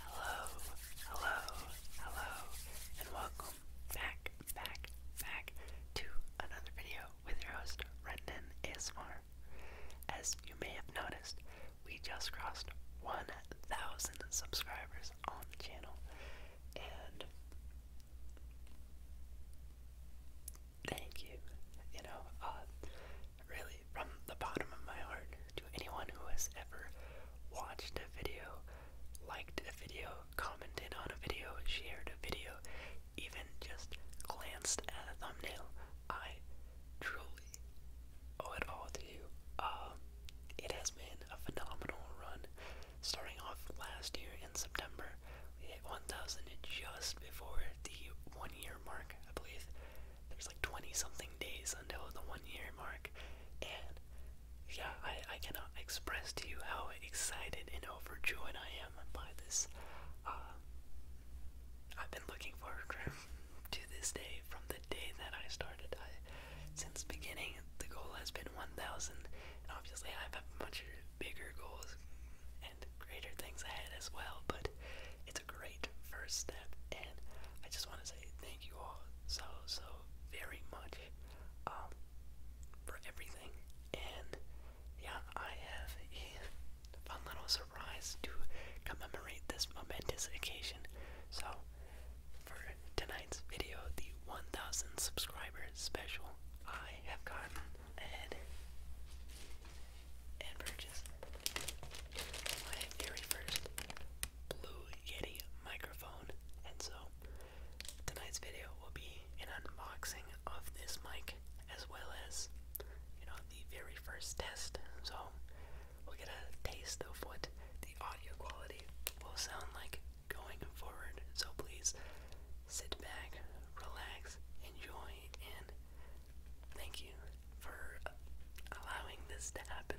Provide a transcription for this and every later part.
Hello, hello, hello, and welcome back, back, back to another video with your host, Rendon ASMR. As you may have noticed, we just crossed 1,000 subscribers on the channel, and thank you. You know, uh, really from the bottom of my heart to anyone who has ever watched a video, liked a video, commented on a video, shared a video, even just glanced at a thumbnail. I truly owe it all to you. Um, it has been a phenomenal run. Starting off last year in September, we hit 1,000 just before the one year mark, I believe there's like 20 something days until the one year mark, and yeah, I, I cannot express to you how excited and overjoyed I am by this. Uh, I've been looking forward to this day from the day that I started. I, since beginning, the goal has been 1,000, and obviously I have a much bigger goals and greater things ahead as well, but it's a great first step, and I just want to say thank you all so, so very much um, for everything. And yeah, I have a fun little surprise to commemorate this momentous occasion. So, for tonight's video, the 1000 subscriber special, I have gotten a and purchase. My very first Blue Yeti microphone, and so tonight's video will be an unboxing of this mic as well as, you know, the very first test. So we'll get a taste of what the audio quality will sound like going forward. So please sit back, relax, enjoy, and Thank you for allowing this to happen.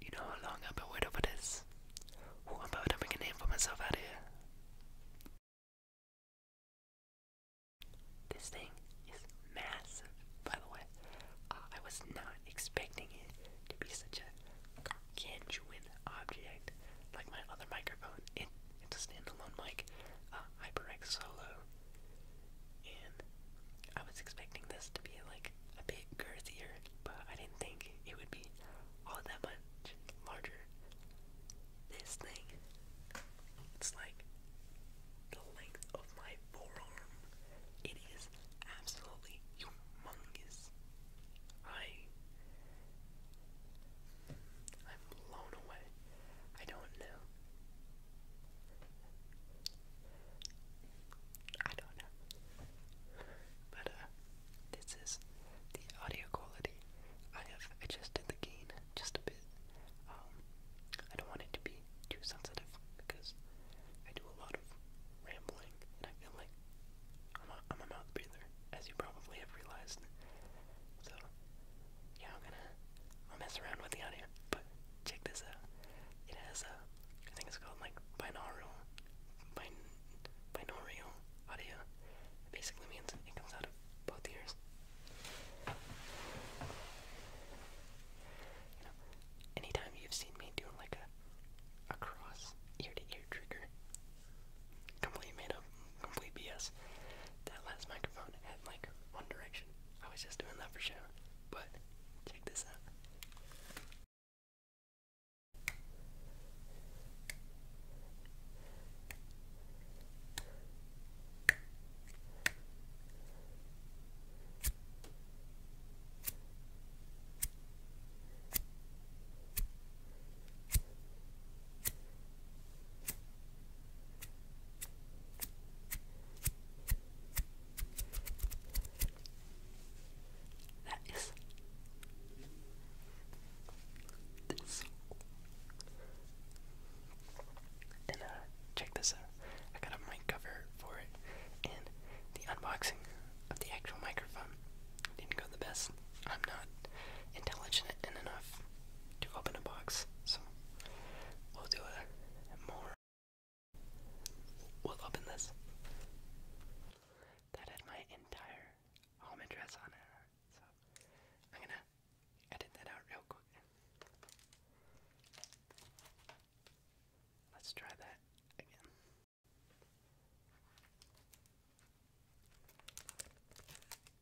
You know how long I've been waiting for this? I'm about to make a name for myself out here. This thing is massive, by the way. Uh, I was not expecting it to be such a gargantuan object like my other microphone. It's a standalone mic, uh, HyperX Solo, and I was expecting this to be like a bit girthier, but I didn't think it would be all that much larger. This thing, it's like the length of my forearm. It is absolutely humongous. I I'm blown away. I don't know. I don't know. But uh this is the audio quality. I have adjusted the gain just a bit. Um, I don't want it to be too sensitive because I do a lot of rambling and I feel like i I'm a mouth breather, as you probably have realized. So yeah, I'm gonna I'll mess around with the audio, but check this out. It has a, I think it's called like binaural, bin, binaural audio. basically means it comes out of both ears. You know, anytime you've seen me doing like a, a cross ear to ear trigger, completely made up complete BS. That last microphone had like one direction. I was just doing that for show. But check this out. That is this. And uh, check this out. I got a mic cover for it, and the unboxing of the actual microphone didn't go the best. I'm not intelligent enough to open a box. So we'll do a more. We'll open this. That had my entire home address on it. So I'm gonna edit that out real quick. Let's try that again.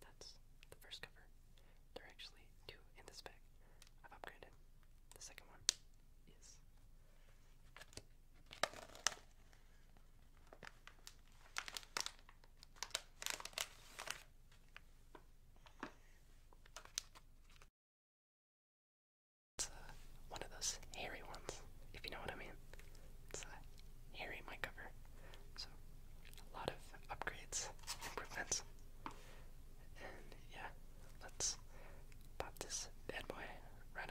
That's the first cover. There are actually two in this bag. I've upgraded. The second one is it's uh, one of those hairy ones, if you know what I mean. It's a uh, hairy mic so a lot of upgrades, improvements, and yeah, let's pop this bad boy right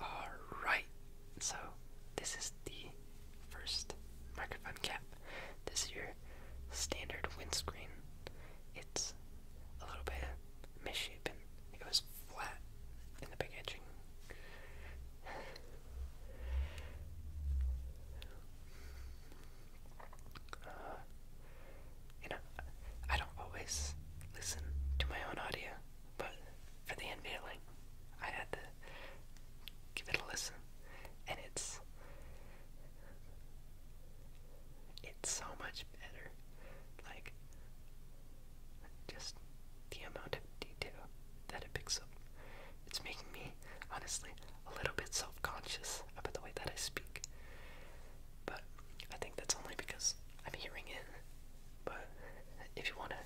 on. Alright, so, this is the first microphone cap. This is your standard windscreen. It's a little bit misshapen. It was flat in the big edging. Uh, you know, I don't always listen to my own audio. But for the unveiling, I had to give it a listen. And it's it's so much better. Like just the amount of detail that it picks up. It's making me honestly a little bit self-conscious about the way that I speak. But I think that's only because I'm hearing it but if you wanna,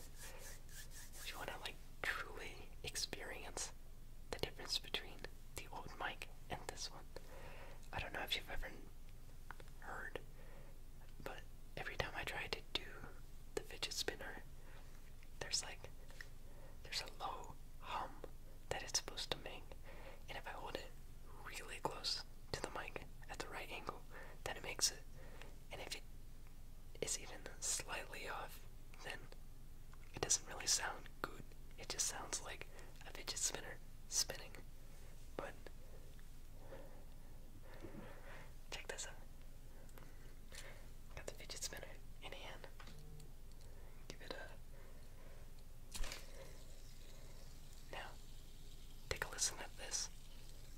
if you wanna like truly experience the difference between the old mic and this one, I don't know if you've ever heard, but every time I try to do the fidget spinner, there's like, there's a low hum that it's supposed to make, and if I hold it really close to the mic at the right angle, then it makes it and if it is even slightly off, then it doesn't really sound good. It just sounds like a fidget spinner spinning. But check this out. Got the fidget spinner in hand. Give it a. Now, take a listen at this.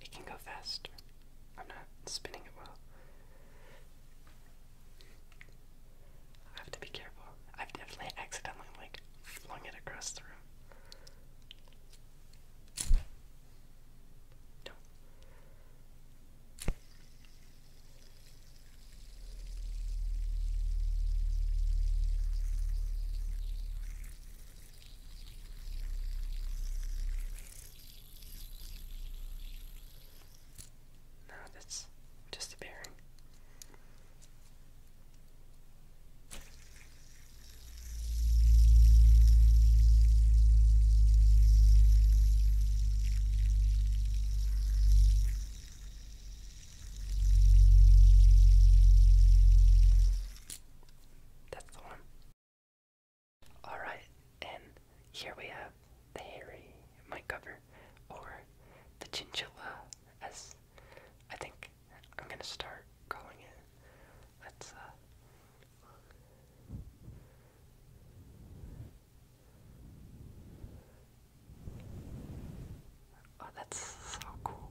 It can go faster. I'm not spinning it well. I have to be careful. I've definitely accidentally like flung it across the room. No. that's just a bearing. That's the one. Alright, and here we have the hairy mic cover or the chinchilla, as I think I'm gonna start calling it. Let's, uh, Oh, that's so cool.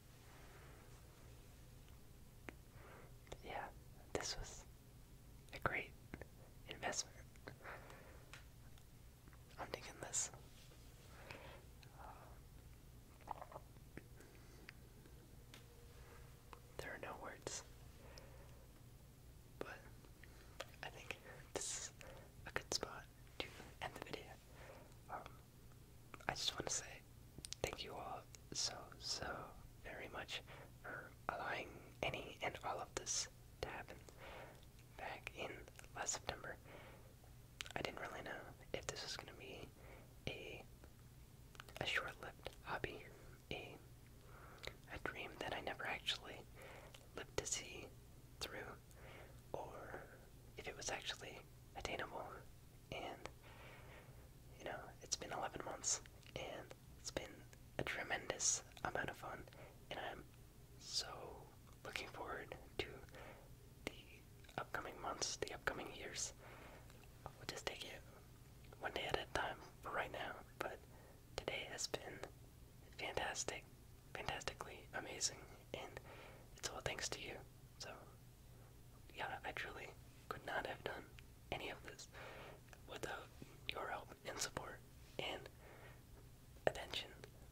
Yeah, this was a great investment. I'm digging this. Um, there are no words, but I think this is a good spot to end the video. Um, I just want to say thank you all so, so very much for allowing any and all of this to happen back in last September. I didn't really know if this was going to be a a short-lived hobby, a a dream that I never actually lived to see through, or if it was actually attainable and you know it's been 11 months and it's been a tremendous amount of fun and i'm so looking forward to the upcoming months the upcoming years we'll just take it one day at a time for right now but today has been fantastic fantastically amazing and it's all thanks to you so, yeah, I truly could not have done any of this without your help and support and attention.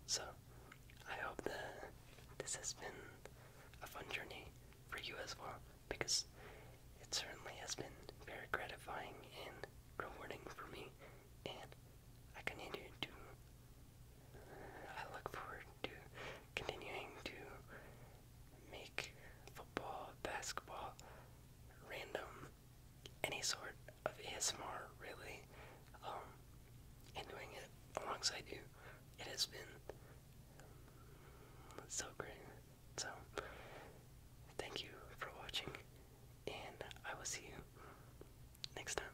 So, I hope that this has been a fun journey for you as well because it certainly has been very gratifying and rewarding for me and I continue to I look forward to continuing to make football, basketball, random, any sort of ASMR really, um, and doing it alongside you. It has been so great. So, thank you for watching, and I will see you next time.